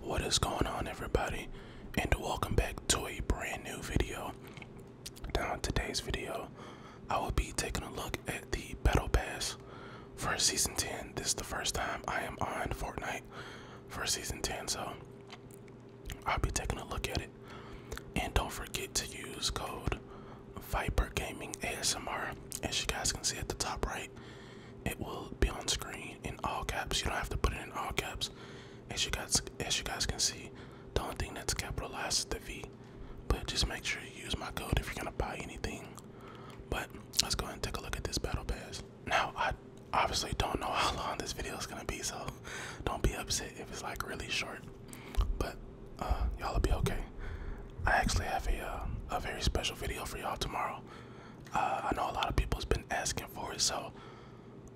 What is going on everybody and welcome back to a brand new video. Now today's video I will be taking a look at the battle pass for season 10. This is the first time I am on Fortnite for season 10 so I'll be taking a look at it. And don't forget to use code Viper Gaming ASMR as you guys can see at the top right it will be on screen in all caps. You don't have to put it in all caps. As you guys as you guys can see, the only thing that's capitalized is the V. But just make sure you use my code if you're gonna buy anything. But let's go and take a look at this battle pass. Now I obviously don't know how long this video is gonna be, so don't be upset if it's like really short. But uh, y'all will be okay. I actually have a uh, a very special video for y'all tomorrow. Uh, I know a lot of people's been asking for it, so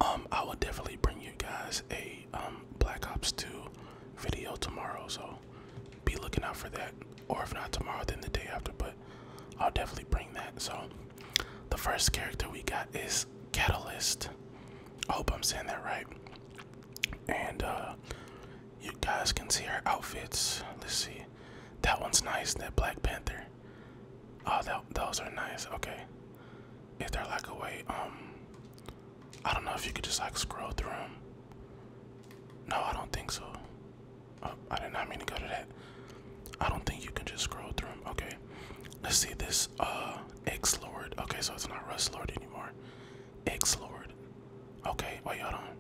um, I will definitely bring you guys a um, Black Ops 2 video tomorrow. So be looking out for that, or if not tomorrow, then the day after. But I'll definitely bring that. So the first character we got is Catalyst. I hope I'm saying that right. And uh, you guys can see her outfits. Let's see. That one's nice, that Black Panther. Oh, that, those are nice. Okay. If they're like a way, um, I don't know if you could just like scroll through them. No, I don't think so. Oh, I did not mean to go to that. I don't think you can just scroll through them. Okay. Let's see this. Uh, X Lord. Okay, so it's not Rust Lord anymore. X Lord. Okay, wait, hold on.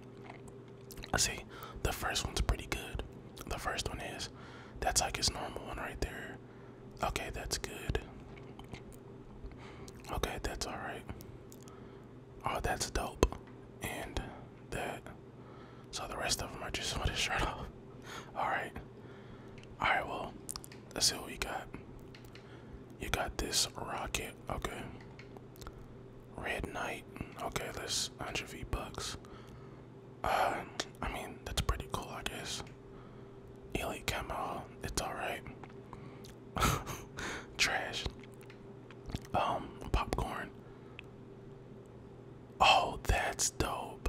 I see. The first one's pretty good. The first one is. That's like his normal one right there. Okay, that's good. Okay, that's alright. Oh, that's dope. And that. So the rest of them are just with his shirt off. Alright. Alright, well, let's see what we got. You got this rocket. Okay. Red Knight. Okay, that's 100 V bucks. Uh, I mean, that's pretty cool, I guess. Elite camo, it's alright. Trash. Um, popcorn. Oh, that's dope.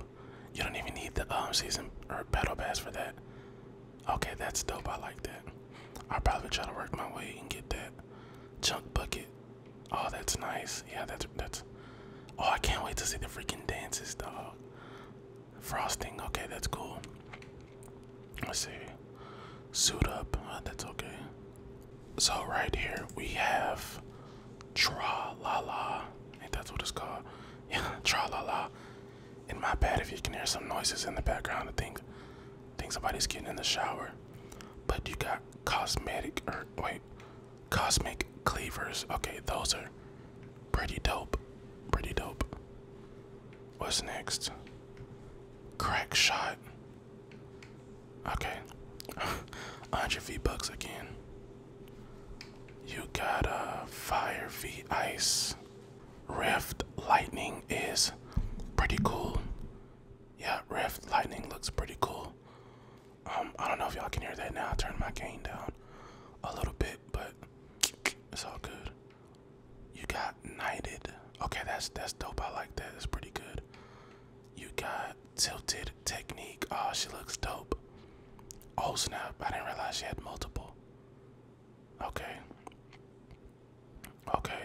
You don't even need the um season or battle pass for that. Okay, that's dope. I like that. I'll probably try to work my way and get that junk bucket. Oh, that's nice. Yeah, that's that's. Oh, I can't wait to see the freaking dances, dog. Frosting. Okay, that's cool. Let's see. Suit up. Oh, that's okay. So right here we have Tra La La. I that's what it's called. Yeah, Tra La La. In my bed, if you can hear some noises in the background. I think, think somebody's getting in the shower. But you got cosmetic, or er, wait, cosmic cleavers. Okay, those are pretty dope. Pretty dope. What's next? Crack shot. Okay, 100 V bucks again. You got a uh, fire V ice. Rift Lightning is pretty cool. Yeah, Rift Lightning looks pretty cool. Um, I don't know if y'all can hear that now. Turn my gain down a little bit, but it's all good. You got Knighted. Okay, that's that's dope. I like that. It's pretty good. You got Tilted Technique. Oh, she looks dope. Oh snap, I didn't realize she had multiple. Okay. Okay.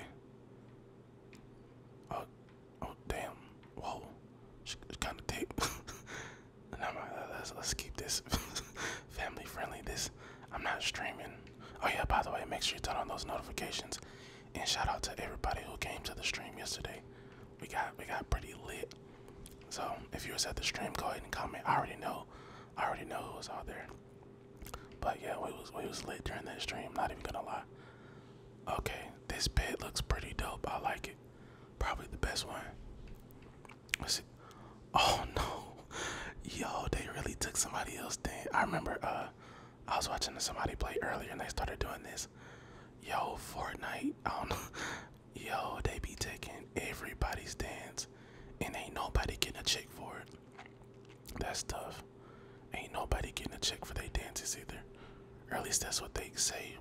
Oh, oh damn. Whoa. It's kind of deep. Never mind. Let's, let's keep this family friendly. This, I'm not streaming. Oh yeah, by the way, make sure you turn on those notifications. And shout out to everybody who came to the stream yesterday. We got we got pretty lit. So if you were at the stream, go ahead and comment. I already know I already know who was out there. But yeah, we was we was lit during that stream. Not even gonna lie. Okay, this bed looks pretty dope. I like it. Probably the best one. Let's Oh no, yo, they really took somebody else Then I remember uh, I was watching somebody play earlier and they started doing this. Yo, Fortnite. I don't know. Yo, they be taking everybody's dance and ain't nobody getting a check for it. That's tough. Ain't nobody getting a check for their dances either. Or at least that's what they say.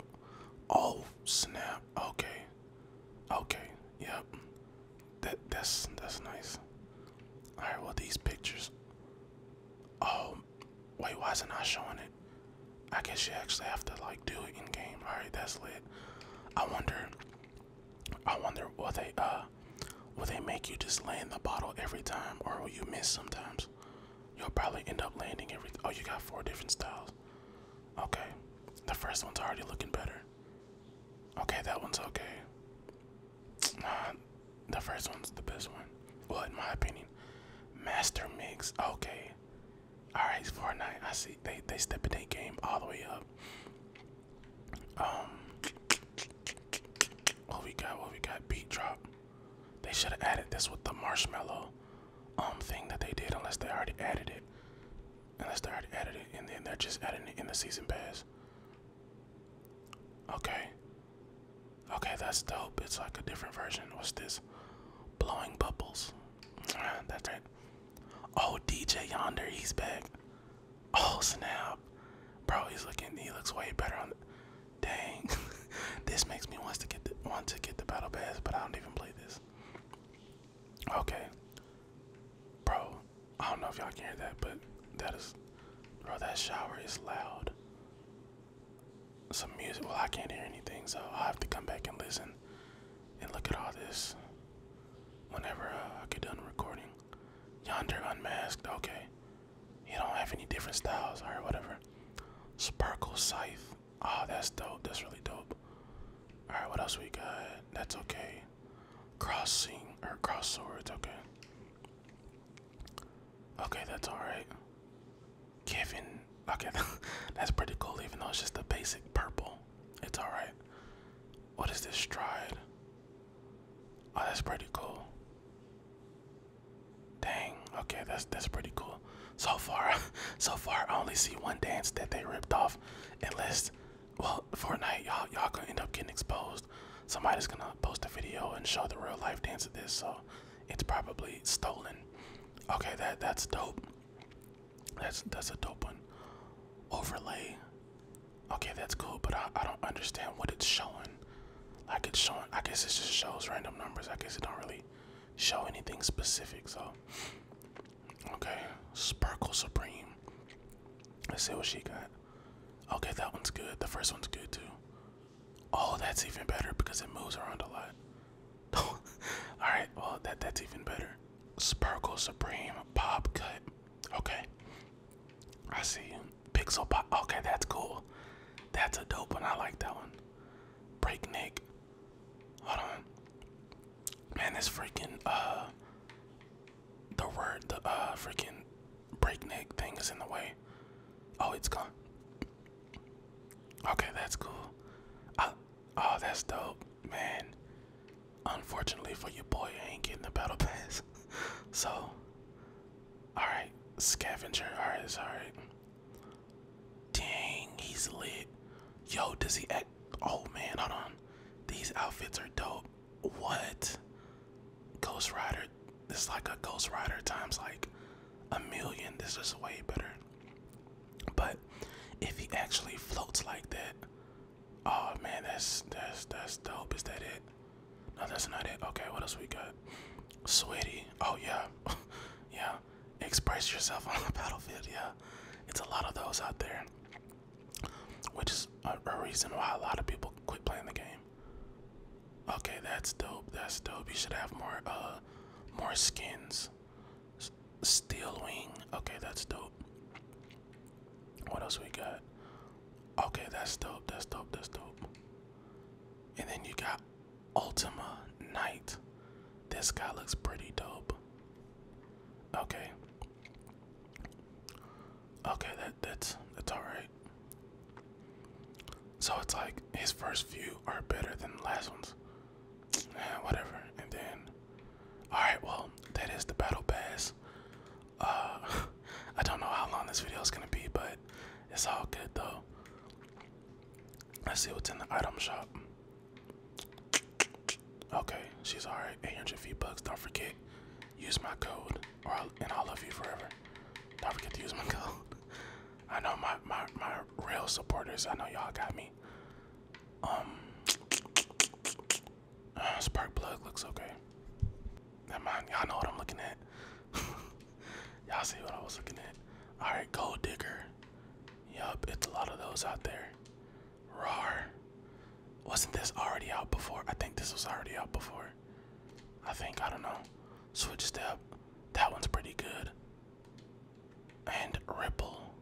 Oh snap. Okay. Okay. Yep. That that's that's nice. Alright, well these pictures. Oh wait, why isn't I showing it? I guess you actually have to like do it in game. All right, that's lit. I wonder. I wonder will they uh will they make you just land the bottle every time, or will you miss sometimes? You'll probably end up landing every. Oh, you got four different styles. Okay, the first one's already looking better. Okay, that one's okay. Uh, the first one's the best one. Well, in my opinion, Master Mix. Okay, all right, Fortnite. I see they they stepping their game all the way up. Um, what we got? What we got? Beat drop. They should have added this with the marshmallow um thing that they did, unless they already added it. Unless they already added it, and then they're just adding it in the season pass. Okay. Okay, that's dope. It's like a different version. What's this? blowing bubbles. Ah, that's right. Oh, DJ Yonder, he's back. Oh snap, bro, he's looking. He looks way better on. The, dang, this makes me want to get the, want to get the battle pass, but I don't even play this. Okay, bro, I don't know if y'all can hear that, but that is, bro, that shower is loud some music. Well, I can't hear anything, so I'll have to come back and listen and look at all this whenever uh, I get done recording. Yonder Unmasked, okay. You don't have any different styles, or whatever. Sparkle Scythe, oh, that's dope. That's really dope. Alright, what else we got? That's okay. Crossing, or Cross Swords, okay. Okay, that's alright. Kevin, okay, that's pretty cool, even though it's just a basic purple. It's alright. What is this stride? Oh, that's pretty cool. Dang, okay, that's that's pretty cool. So far, so far, I only see one dance that they ripped off. Unless, well, Fortnite, y'all y'all gonna end up getting exposed. Somebody's gonna post a video and show the real life dance of this. So it's probably stolen. Okay, that that's dope. That's that's a dope one. Overlay. Okay, that's cool, but I, I don't understand what it's showing. Like it's showing I guess it just shows random numbers. I guess it don't really show anything specific, so Okay. Sparkle Supreme. Let's see what she got. Okay, that one's good. The first one's good too. Oh, that's even better because it moves around a lot. All right, well that that's even better. Sparkle Supreme Pop Cut. Okay, I see Pixel Pop. Okay, that's cool. That's a dope one. I like that one. Break Nick. Hold on, man. This freaking uh, the word the uh freaking breakneck thing is in the way. Oh, it's gone. Okay, that's cool. I, ah, oh, that's dope, man. Unfortunately for your boy, I ain't getting the battle pass. so, all right, scavenger. All right, it's all right. Dang, he's lit. Yo, does he act? Oh man, hold on. These outfits are dope. What? Ghost Rider. This is like a Ghost Rider times like a million. This is way better. But if he actually floats like that, oh man, that's that's that's dope. Is that it? No, that's not it. Okay, what else we got? sweetie? Oh yeah, yeah. Express yourself on the battlefield. Yeah, it's a lot of those out there, which is a reason why a lot of people quit playing the game. Okay, that's dope. That's dope. You should have more uh more skins. S steel wing. Okay, that's dope. What else we got? Okay, that's dope. That's dope. That's dope. And then you got Ultima Knight. This guy looks pretty dope. Okay. Okay, that that's that's all right. So it's like his first few are better than the last ones. Yeah, whatever. And then, all right. Well, that is the battle bears. Uh, I don't know how long this video is gonna be, but it's all good though. Let's see what's in the item shop. Okay, she's alright. 800 feet bucks. Don't forget, use my code, and I'll love you forever. Don't forget to use my code. I know my my my real supporters. I know y'all got me. Um, uh, spark plug looks okay. Never mind. Y'all know what I'm looking at. y'all see what I was looking at. All right, gold digger. Yup, it's a lot of those out there. Roar. Wasn't this already out before? I think this was already out before. I think, I don't know. Switch step. That one's pretty good. And Ripple.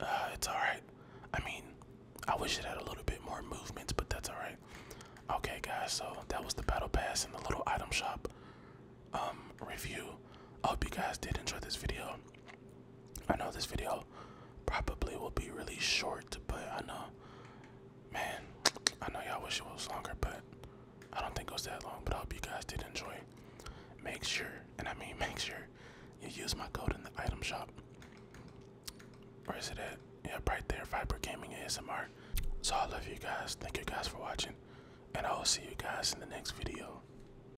Uh, it's alright. I mean, I wish it had a little bit more movements, but that's alright. Okay, guys, so that was the battle pass and the little item shop um, review. I hope you guys did enjoy this video. I know this video probably will be really short, but I know, man, I know y'all wish it was longer, but I don't think it was that long. But I hope you guys did enjoy. Make sure, and I mean, make sure you use my code in the item shop. Where is it at? Yeah, right there, Viper Gaming ASMR. So I love you guys. Thank you guys for watching, and I will see you guys in the next video.